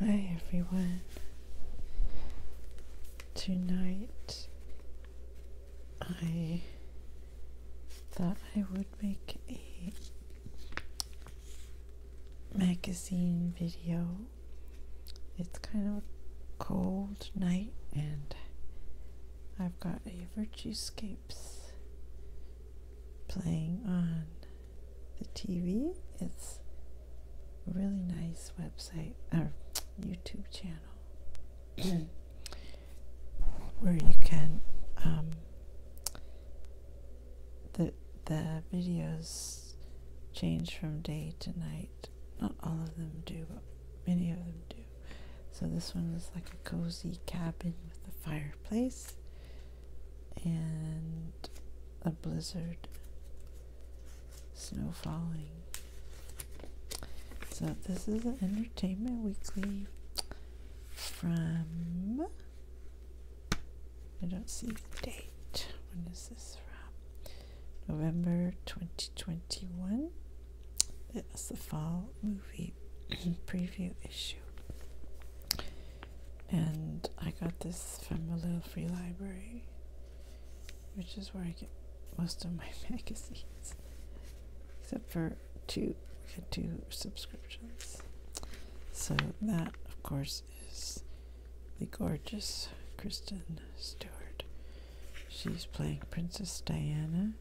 Hi everyone. Tonight I thought I would make a magazine video. It's kind of a cold night and I've got a Virtuescapes playing on the TV. It's a really nice website or YouTube channel where you can um, the the videos change from day to night. Not all of them do, but many of them do. So this one is like a cozy cabin with a fireplace and a blizzard, snow falling. So, this is an Entertainment Weekly from. I don't see the date. When is this from? November 2021. It's the fall movie preview issue and I got this from the Little Free Library, which is where I get most of my magazines, except for two, two subscriptions. So that, of course, is the gorgeous Kristen Stewart. She's playing Princess Diana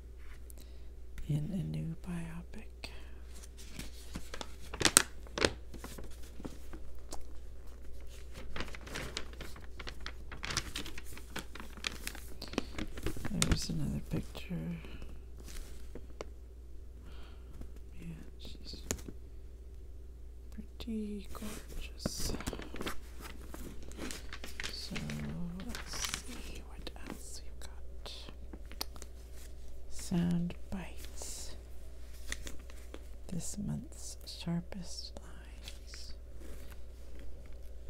in a new biopic there's another picture. Yeah, she's pretty gorgeous. So let's see what else we've got. Sound bites. This month's sharpest lines.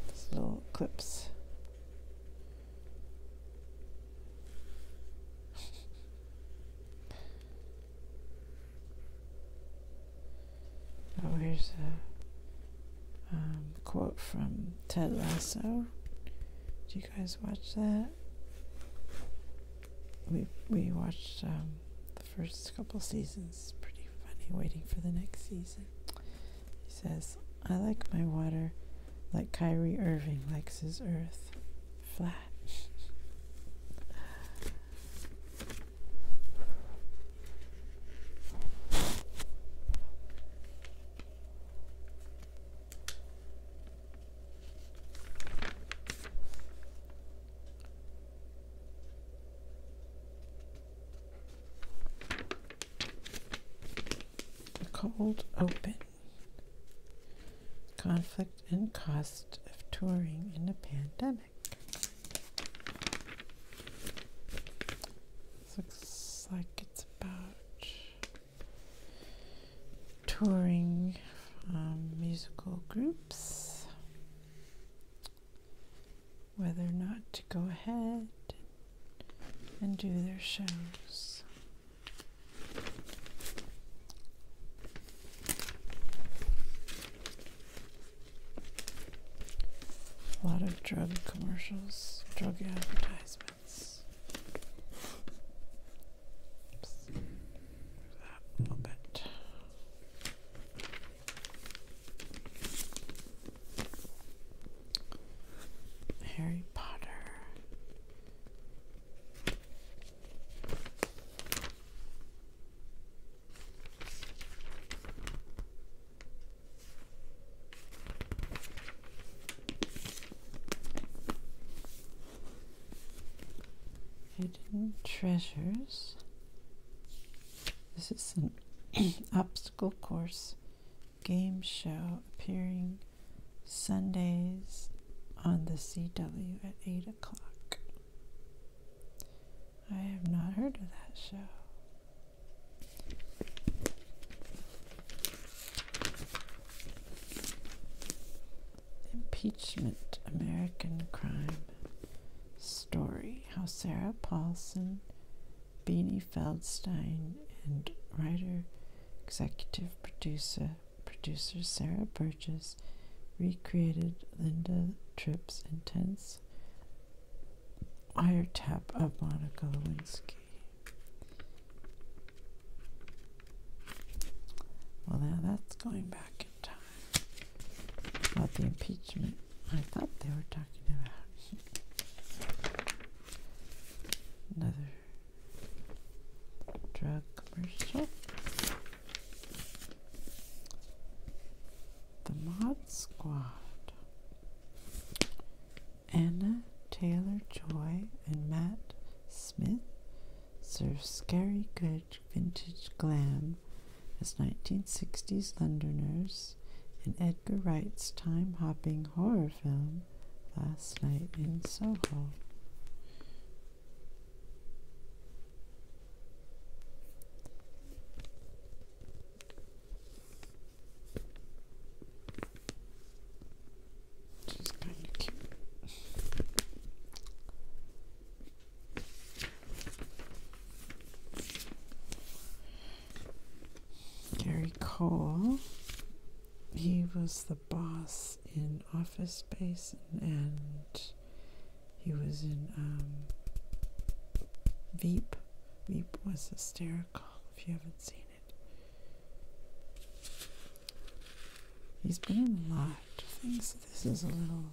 These little clips. oh, here's a um, quote from Ted Lasso. Do you guys watch that? we we watched um, the first couple seasons. Pretty funny. Waiting for the next season. He says, "I like my water, like Kyrie Irving likes his earth, flat." Cold open. Conflict and cost of touring in a pandemic. looks like it's about touring um, musical groups, whether or not to go ahead and do their shows. A lot of drug commercials, drug advertisements a little bit. Harry Potter. Hidden treasures. This is an obstacle course game show appearing Sundays on the CW at 8 o'clock. I have not heard of that show. Impeachment American Crime Story How Sarah Paulson, Beanie Feldstein, and writer, executive producer, producer Sarah Burgess recreated Linda Tripp's intense wiretap of Monica Lewinsky. Well, now that's going back in time. About the impeachment I thought they were talking about. Another drug commercial. The Mod Squad. Anna Taylor Joy and Matt Smith serves scary good vintage glam as 1960s Londoners in Edgar Wright's time hopping horror film Last Night in Soho. Just kind of keep. Gary Cole, he was the boss in Office Space, and he was in um, Veep. Veep was hysterical if you haven't seen it. He's been in about things. This is a little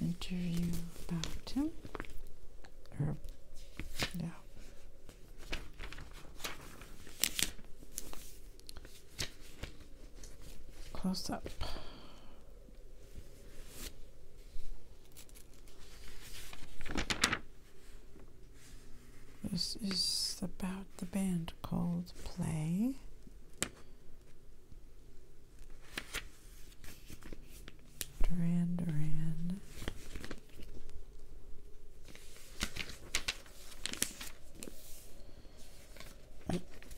interview about him. Or, yeah. Close up. This is about the band called Play. Duran Duran.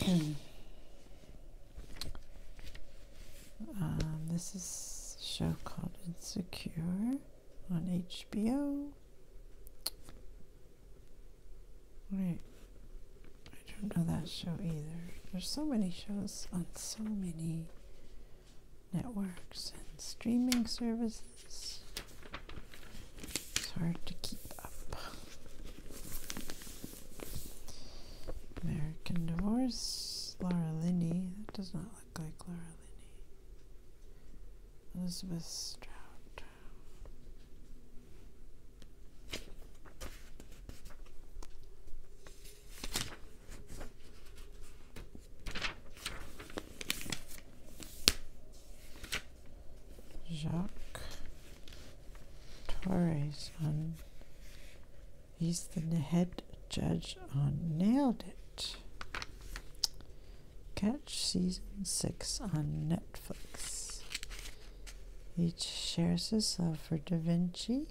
Um, this is a show called Insecure on HBO. Wait, I don't know that show either. There's so many shows on so many networks and streaming services. It's hard to keep up. American Divorce, Laura Linney. That does not look like Laura Linney. Elizabeth Strout. Jacques Torres on he's the head judge on Nailed It. Catch season six on Netflix. Each shares his love for Da Vinci,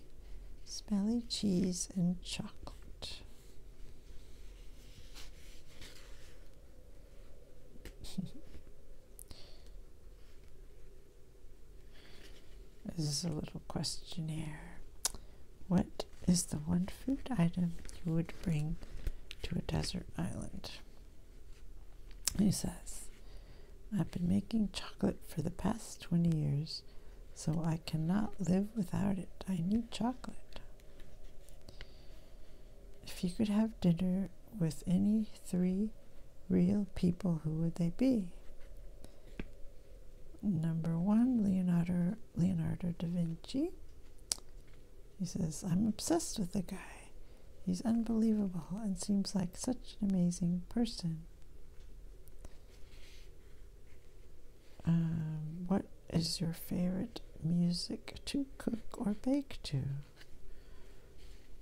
smelly cheese, and chocolate. this is a little questionnaire. What is the one food item you would bring to a desert island? He says, I've been making chocolate for the past 20 years, so I cannot live without it. I need chocolate. If you could have dinner with any three real people, who would they be? Number one, Leonardo, Leonardo da Vinci. He says, I'm obsessed with the guy. He's unbelievable and seems like such an amazing person. Um, what is your favorite music to cook or bake to?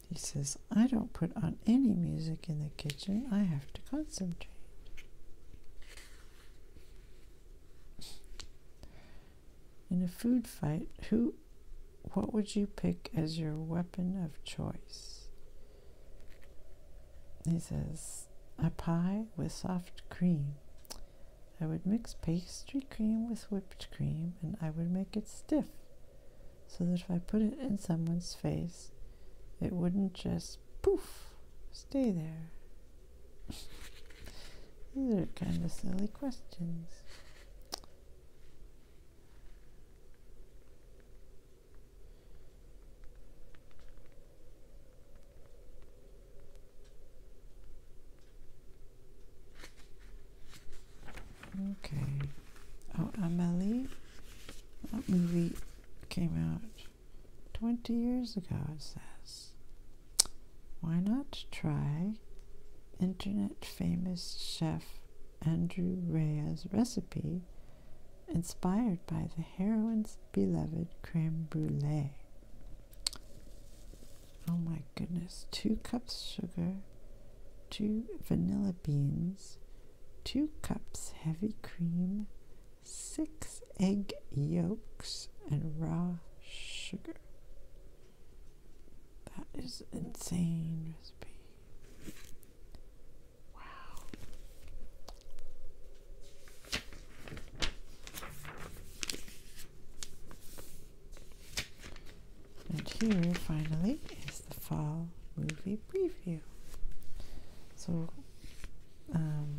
He says, I don't put on any music in the kitchen. I have to concentrate. In a food fight, who what would you pick as your weapon of choice? He says, a pie with soft cream. I would mix pastry cream with whipped cream and I would make it stiff so that if I put it in someone's face, it wouldn't just poof, stay there. These are kind of silly questions. Okay. Oh, Amelie. That movie came out 20 years ago, it says why not try internet famous chef Andrew Reyes' recipe inspired by the heroine's beloved creme brulee? Oh my goodness, two cups sugar, two vanilla beans, two cups heavy cream, six egg yolks, and raw sugar. That is insane recipe. Wow. And here, finally, is the fall movie preview. So, um,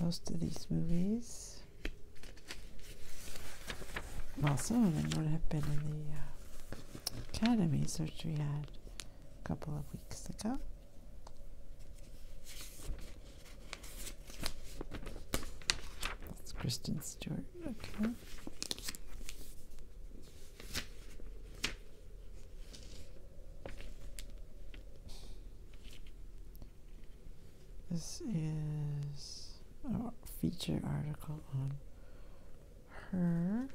most of these movies well, some of them would have been in the uh, academy academies, which we had a couple of weeks ago. That's Kristen Stewart. Okay. This is a feature article on her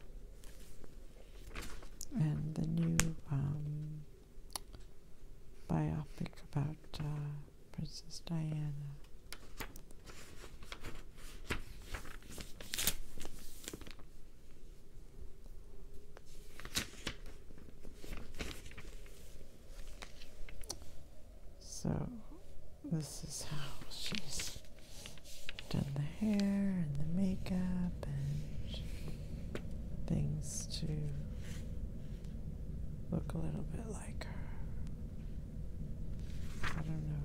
and the new um, biopic about uh, Princess Diana. So this is how she's done the hair and the makeup and things to look a little bit like her. I don't know.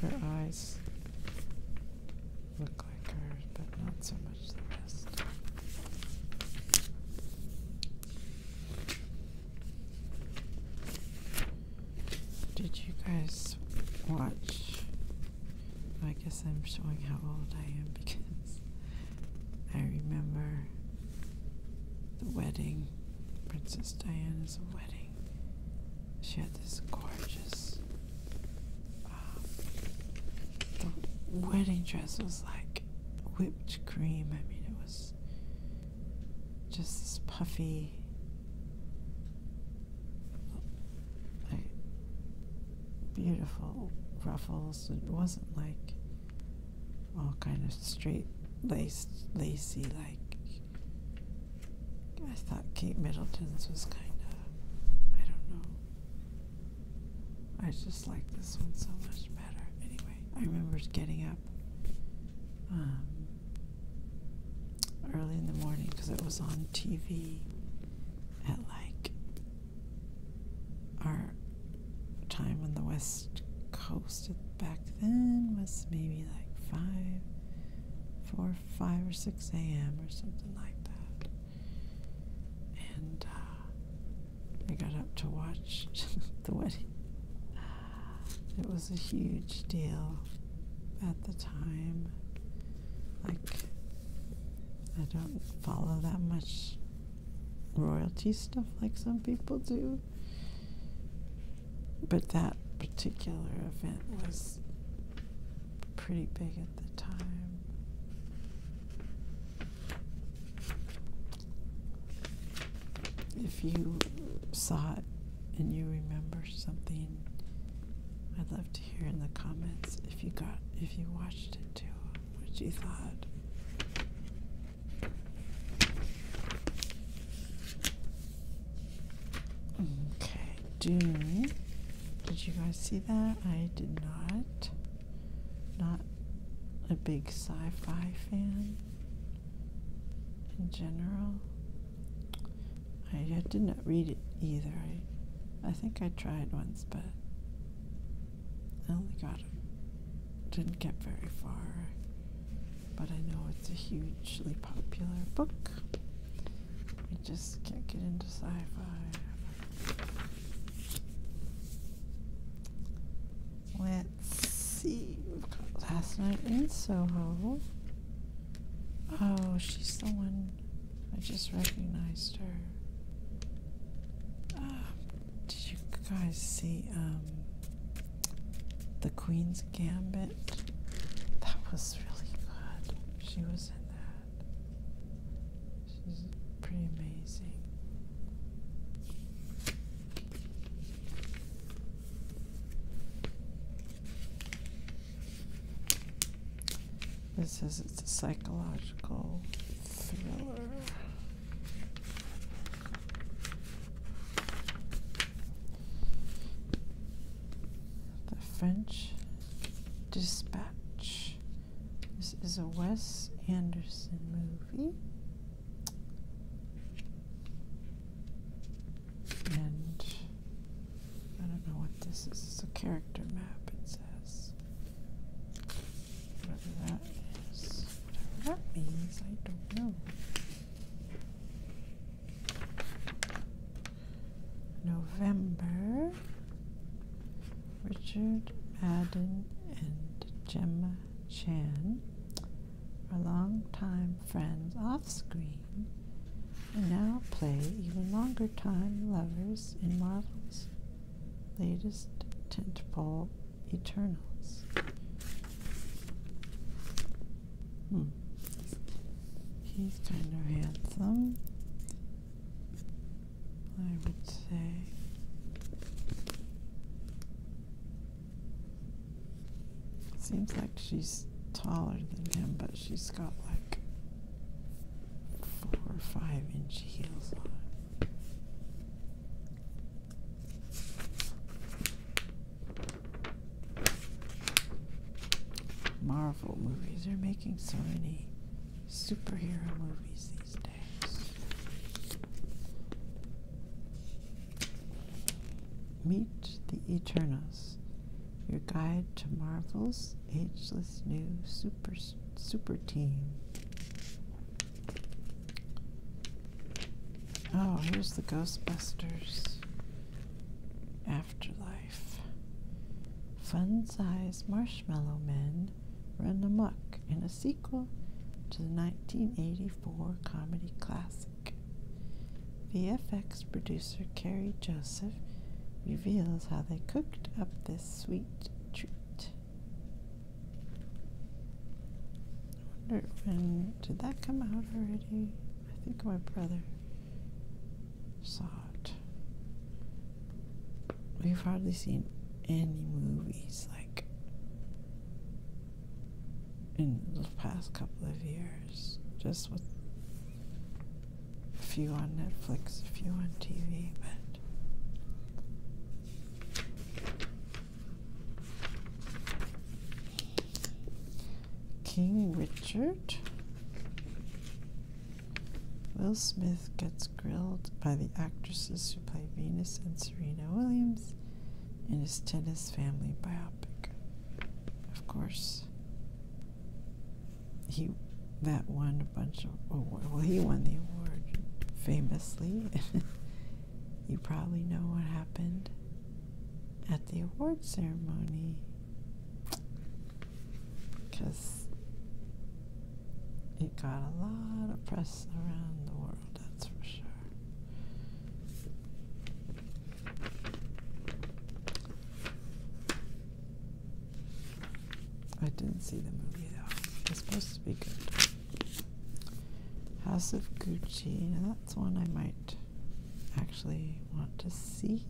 Her eyes look like hers, but not so much the rest. Did you guys watch? I guess I'm showing how old I am because I remember the wedding, Princess Diana's wedding. She had this gorgeous um, wedding dress was like whipped cream. I mean, it was just this puffy. Like beautiful ruffles. It wasn't like all kind of straight laced, lacy, like I thought Kate Middleton's was kind of, I don't know. I just like this one so much better. Anyway, I remember getting up um, early in the morning because it was on TV at like our time on the West Coast back then was maybe like 5, 4 5 or 6 a.m. or something like that. And uh, I got up to watch the wedding. It was a huge deal at the time. Like, I don't follow that much royalty stuff like some people do. But that particular event was pretty big at the time. If you saw it and you remember something, I'd love to hear in the comments if you got if you watched it too, what you thought. Okay, do did you guys see that? I did not. Not a big sci-fi fan in general. I, did not read it either. I I think I tried once but I only got didn't get very far. But I know it's a hugely popular book just can't get into sci-fi. Let's see. Last night in Soho. Oh, she's the one. I just recognized her. Ah, did you guys see um, the Queen's? Gambit. That was really good. She was in that. She's pretty amazing. This is it's a psychological thriller. The French Dispatch. This is a Wes Anderson movie. And I don't know what this is. It's a character map, it says. Whatever that is. Whatever that means, I don't know. November, Richard Madden and Gemma Chan are longtime friends off screen and now play even longer time lovers in Marvel's latest tentpole Eternals. Hmm. He's kind of handsome, I would say. Seems like she's taller than him, but she's got like four or five inch heels on. Marvel movies. are making so many superhero movies these days. Meet the Eternals, your guide to Marvel's ageless new super super team. Oh, here's the Ghostbusters afterlife. Fun sized marshmallow men run amok in a sequel to the 1984 comedy classic. VFX producer Carrie Joseph reveals how they cooked up this sweet treat. I wonder when did that come out already? I think my brother soft. We've hardly seen any movies like in the past couple of years, just with a few on Netflix, a few on TV, but. King Richard. Will Smith gets grilled by the actresses who play Venus and Serena Williams in his tennis family biopic. Of course, he that won a bunch of award. Oh, well, he won the award famously. you probably know what happened at the award ceremony because it got a lot of press around the world, that's for sure. I didn't see the movie though. It's supposed to be good. House of Gucci. Now that's one I might actually want to see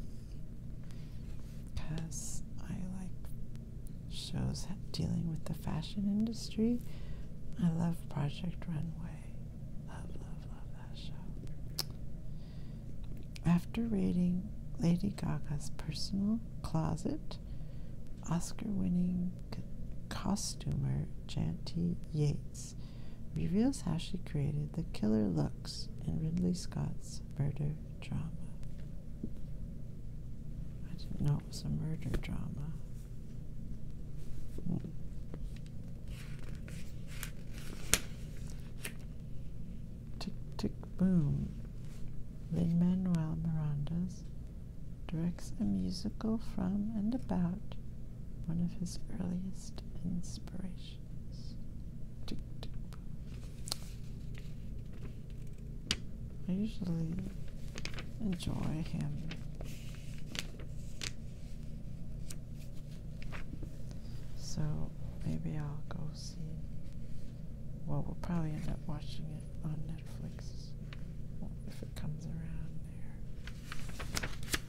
because I like shows dealing with the fashion industry. I love Project Runway. Love, love, love that show. After raiding Lady Gaga's personal closet, Oscar winning costumer Janty Yates reveals how she created the killer looks in Ridley Scott's murder drama. I didn't know it was a murder drama. Tick tick boom. Lin Manuel Miranda's directs a musical from and about one of his earliest inspirations. I usually enjoy him. So maybe I'll go see. Well, we'll probably end up watching it on Netflix if it comes around there.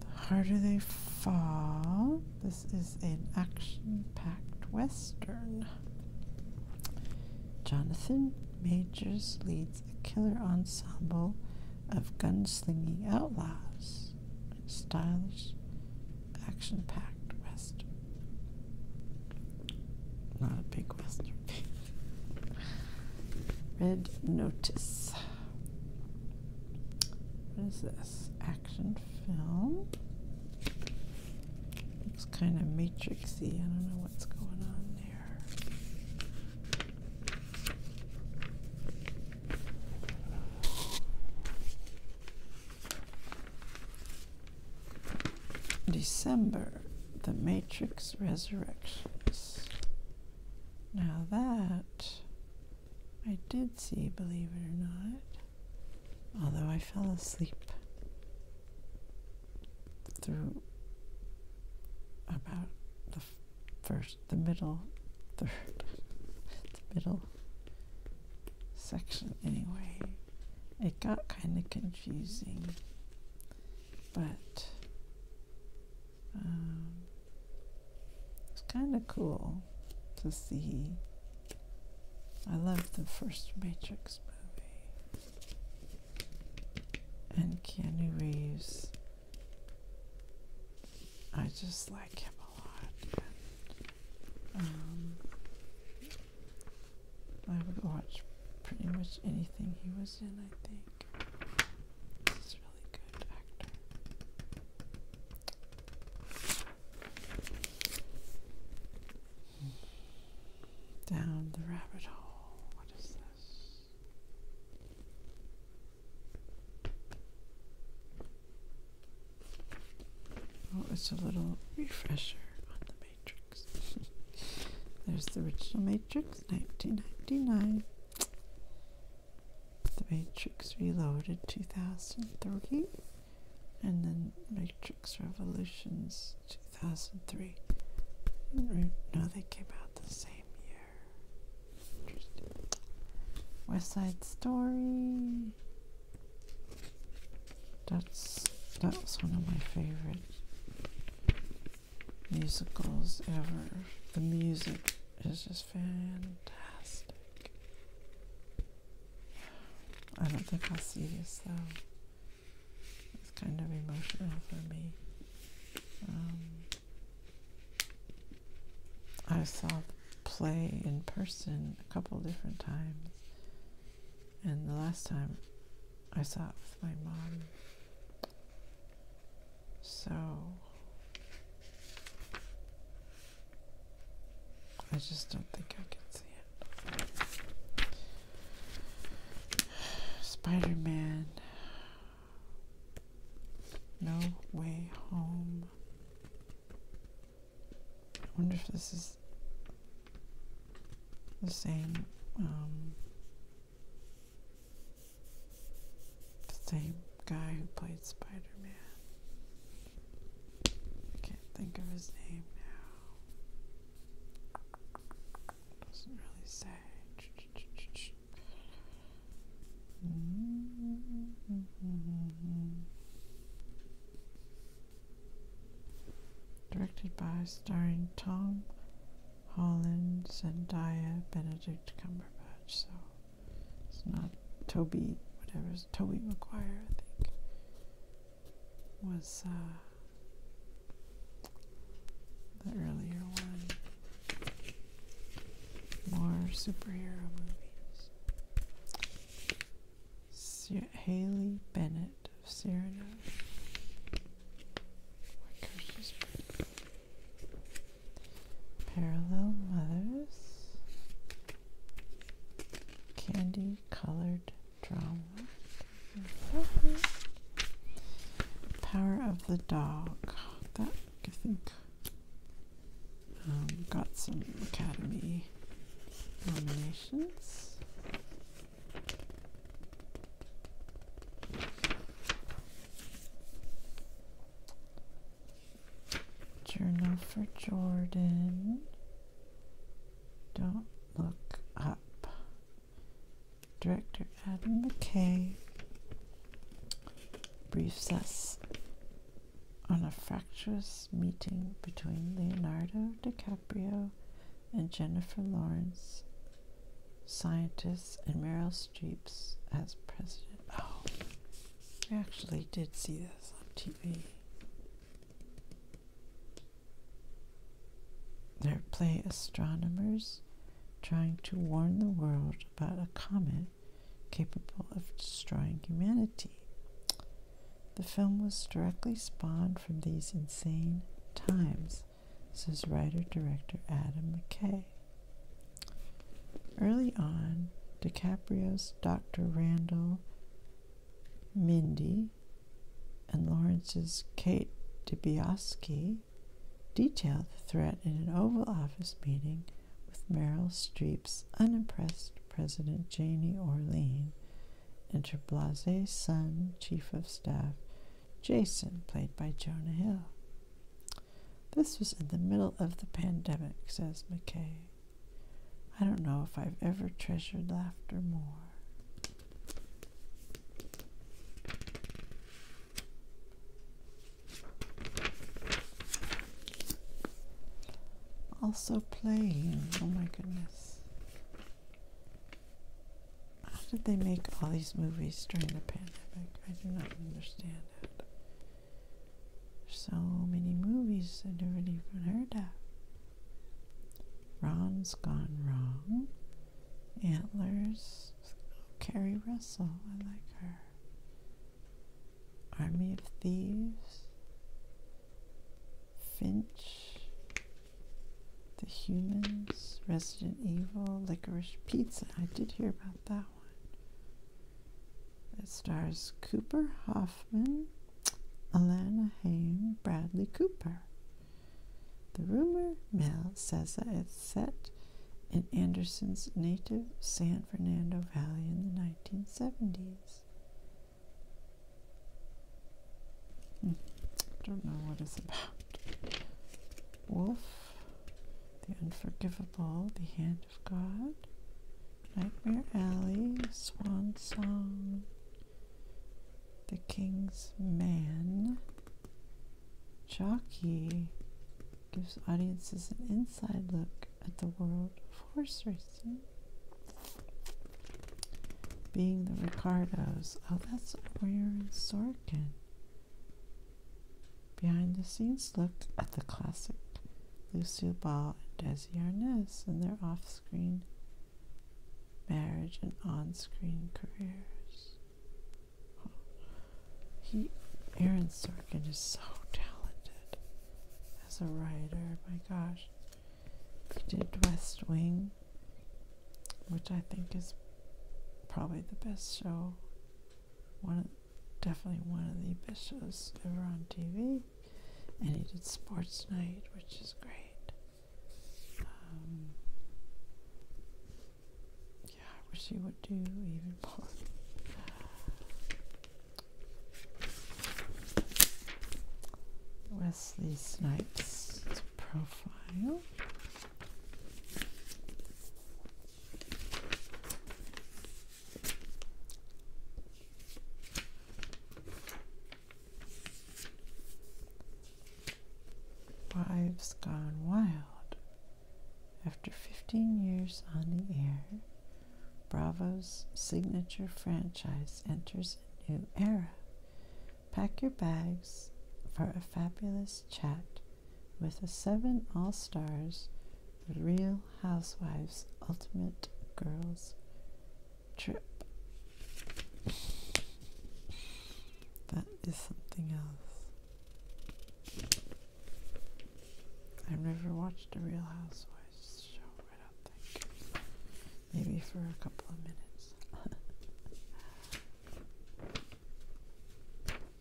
The harder they fall, this is an action packed western. Jonathan Majors leads a killer ensemble of gunslinging outlaws stylish action packed western. Not a big western. Red Notice. What is this? Action film. Looks kind of matrixy. I don't know what's going on there. December, The Matrix Resurrections. Now that I did see, believe it or not, although I fell asleep through about the first, the middle, third, the middle section anyway. It got kind of confusing, but um, it's kind of cool to see. I love the first Matrix movie. And Keanu Reeves, I just like him a lot. And, um, I would watch pretty much anything he was in, I think. Down the rabbit hole. What is this? Oh, it's a little refresher on the Matrix. There's the original Matrix, 1999. The Matrix Reloaded 2003 and then Matrix Revolutions 2003. No, they came out the same year. West Side Story. That's that was one of my favorite musicals ever. The music is just fantastic. I don't think I'll see this though. It's kind of emotional for me. Um, I saw play in person a couple different times, and the last time I saw it with my mom. So I just don't think I can see it. Spider Man. No way home. I wonder if this is the same um, the same guy who played Spider Man. I can't think of his name now. Doesn't really say. Directed by starring Tom Holland, Zendaya, Benedict Cumberbatch. So it's not Toby, whatever it's Toby McGuire, I think, was uh, the earlier one. More superhero movies. Sir Haley Bennett of Cyrano. Parallel Mothers Candy Colored Drama Power of the Dog. That I think um, got some Academy nominations. Journal for Jordan. Don't look up. Director Adam McKay briefs us on a fractious meeting between Leonardo DiCaprio and Jennifer Lawrence scientists and Meryl Streep's as president. Oh, I actually did see this on TV. they play astronomers trying to warn the world about a comet capable of destroying humanity. The film was directly spawned from these insane times. Says writer director Adam McKay. Early on, DiCaprio's Dr. Randall Mindy and Lawrence's Kate DiBioski detail the threat in an Oval Office meeting with Meryl Streep's unimpressed President Janie Orlean and her blasé son, Chief of Staff Jason, played by Jonah Hill. This was in the middle of the pandemic, says McKay. I don't know if I've ever treasured laughter more. Also playing, oh my goodness. How did they make all these movies during the pandemic? I do not understand it. So many movies I never even heard of. Ron's Gone Wrong, Antlers, Carrie Russell, I like her. Army of Thieves, Finch, The Humans, Resident Evil, licorice pizza. I did hear about that one. It stars Cooper Hoffman, Alana Haim, Bradley Cooper. The rumor mill says that it's set in Anderson's native San Fernando Valley in the 1970s. I hmm. Don't know what it's about. Wolf the Unforgivable, The Hand of God, Nightmare Alley, Swan Song, The King's Man, Jockey gives audiences an inside look at the world of horse racing. Being the Ricardos. Oh, that's a weird Sorkin. Behind the scenes look at the classic Lucille Ball and Desi Arnaz and their off screen marriage and on screen careers. Oh. He, Aaron Sorkin is so talented as a writer. My gosh. He did West Wing, which I think is probably the best show one of, definitely one of the best shows ever on TV. And he did Sports Night, which is great. Um, yeah, I wish he would do even more. Wesley Snipes profile. Wives Gone Wild. After 15 years on the air, Bravo's signature franchise enters a new era. Pack your bags for a fabulous chat with the seven all stars, the Real Housewives Ultimate Girls Trip. That is something else. I've never watched a Real Housewives show, I don't think. Maybe for a couple of minutes.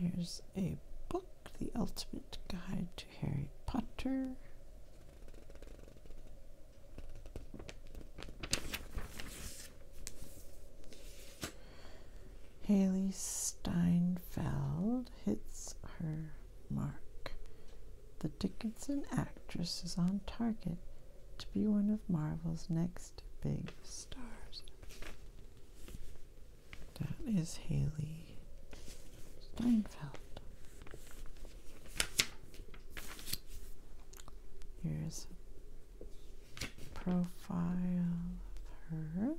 Here's a book, The Ultimate Guide to Harry Potter. Haley Steinfeld hits her mark. The Dickinson actress is on target to be one of Marvel's next big stars. That is Haley Steinfeld. Here's a profile of her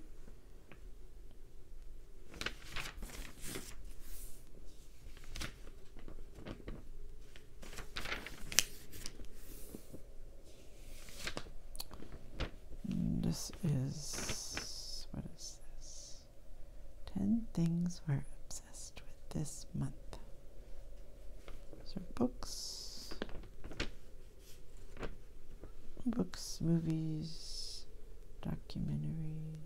this is what is this? Ten things we're obsessed with this month. These are books books, movies, documentaries.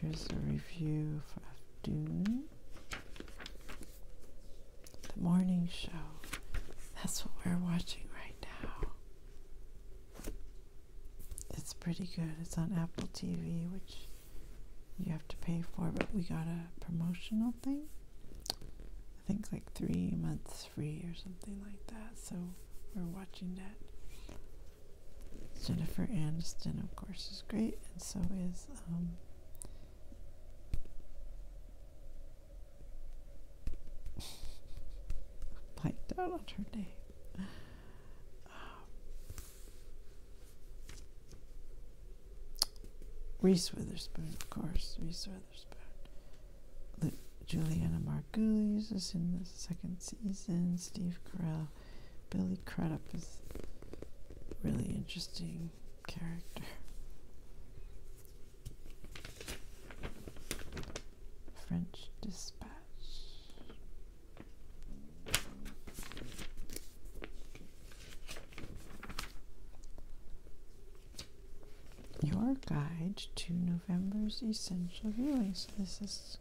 Here's a review for Dune. The morning show. That's what we're watching right now. It's pretty good. It's on Apple TV, which you have to pay for, but we got a promotional thing. I think like three months free or something like that. So we're watching that. Jennifer Aniston, of course, is great, and so is um, blanked out on her name. Um, Reese Witherspoon, of course. Reese Witherspoon. Juliana Margulies is in the second season. Steve Carell, Billy Crudup is a really interesting character. French Dispatch. Your guide to November's essential viewing. So this is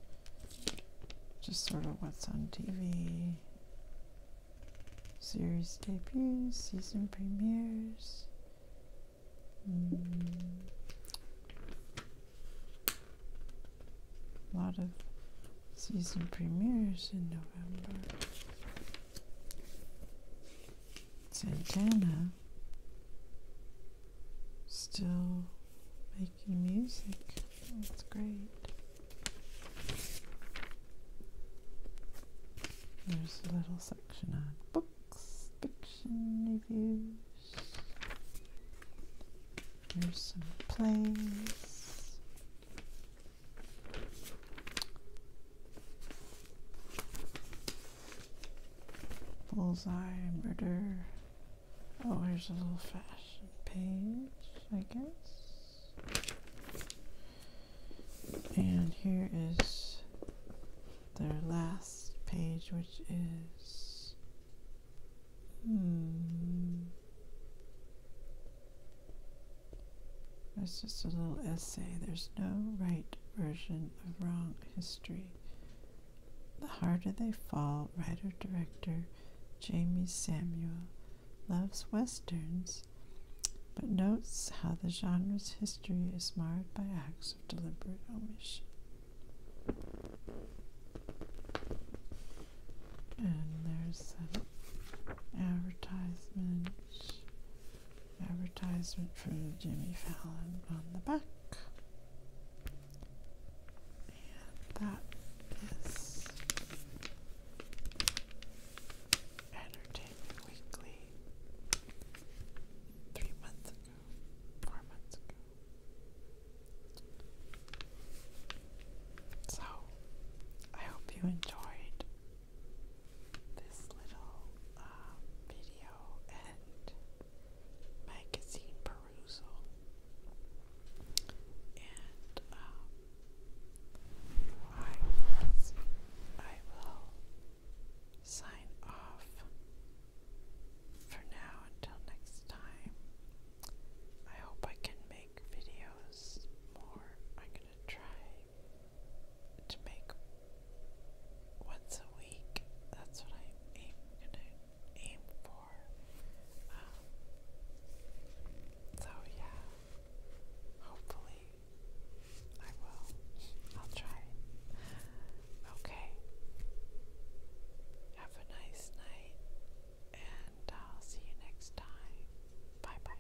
just sort of what's on TV, series debuts, season premieres. A hmm. lot of season premieres in November. Santana uh, still making music. That's great. There's a little section on books, fiction reviews. There's some plays. Bullseye, murder. Oh, here's a little fashion page, I guess. And here is their last page, which is. Hmm. It's just a little essay. There's no right version of wrong history. The Harder They Fall writer director Jamie Samuel loves westerns, but notes how the genre's history is marred by acts of deliberate omission. And there's an advertisement Advertisement for Jimmy Fallon on the back. And that is Entertainment Weekly three months ago, four months ago. So, I hope you enjoyed this little uh, video and magazine perusal, and um, I will sign off for now until next time. I hope I can make videos more. I'm gonna try to make once a week. That's what i aim, to aim for. Um, so yeah, hopefully I will. I'll try. Okay. Have a nice night, and I'll see you next time. Bye bye.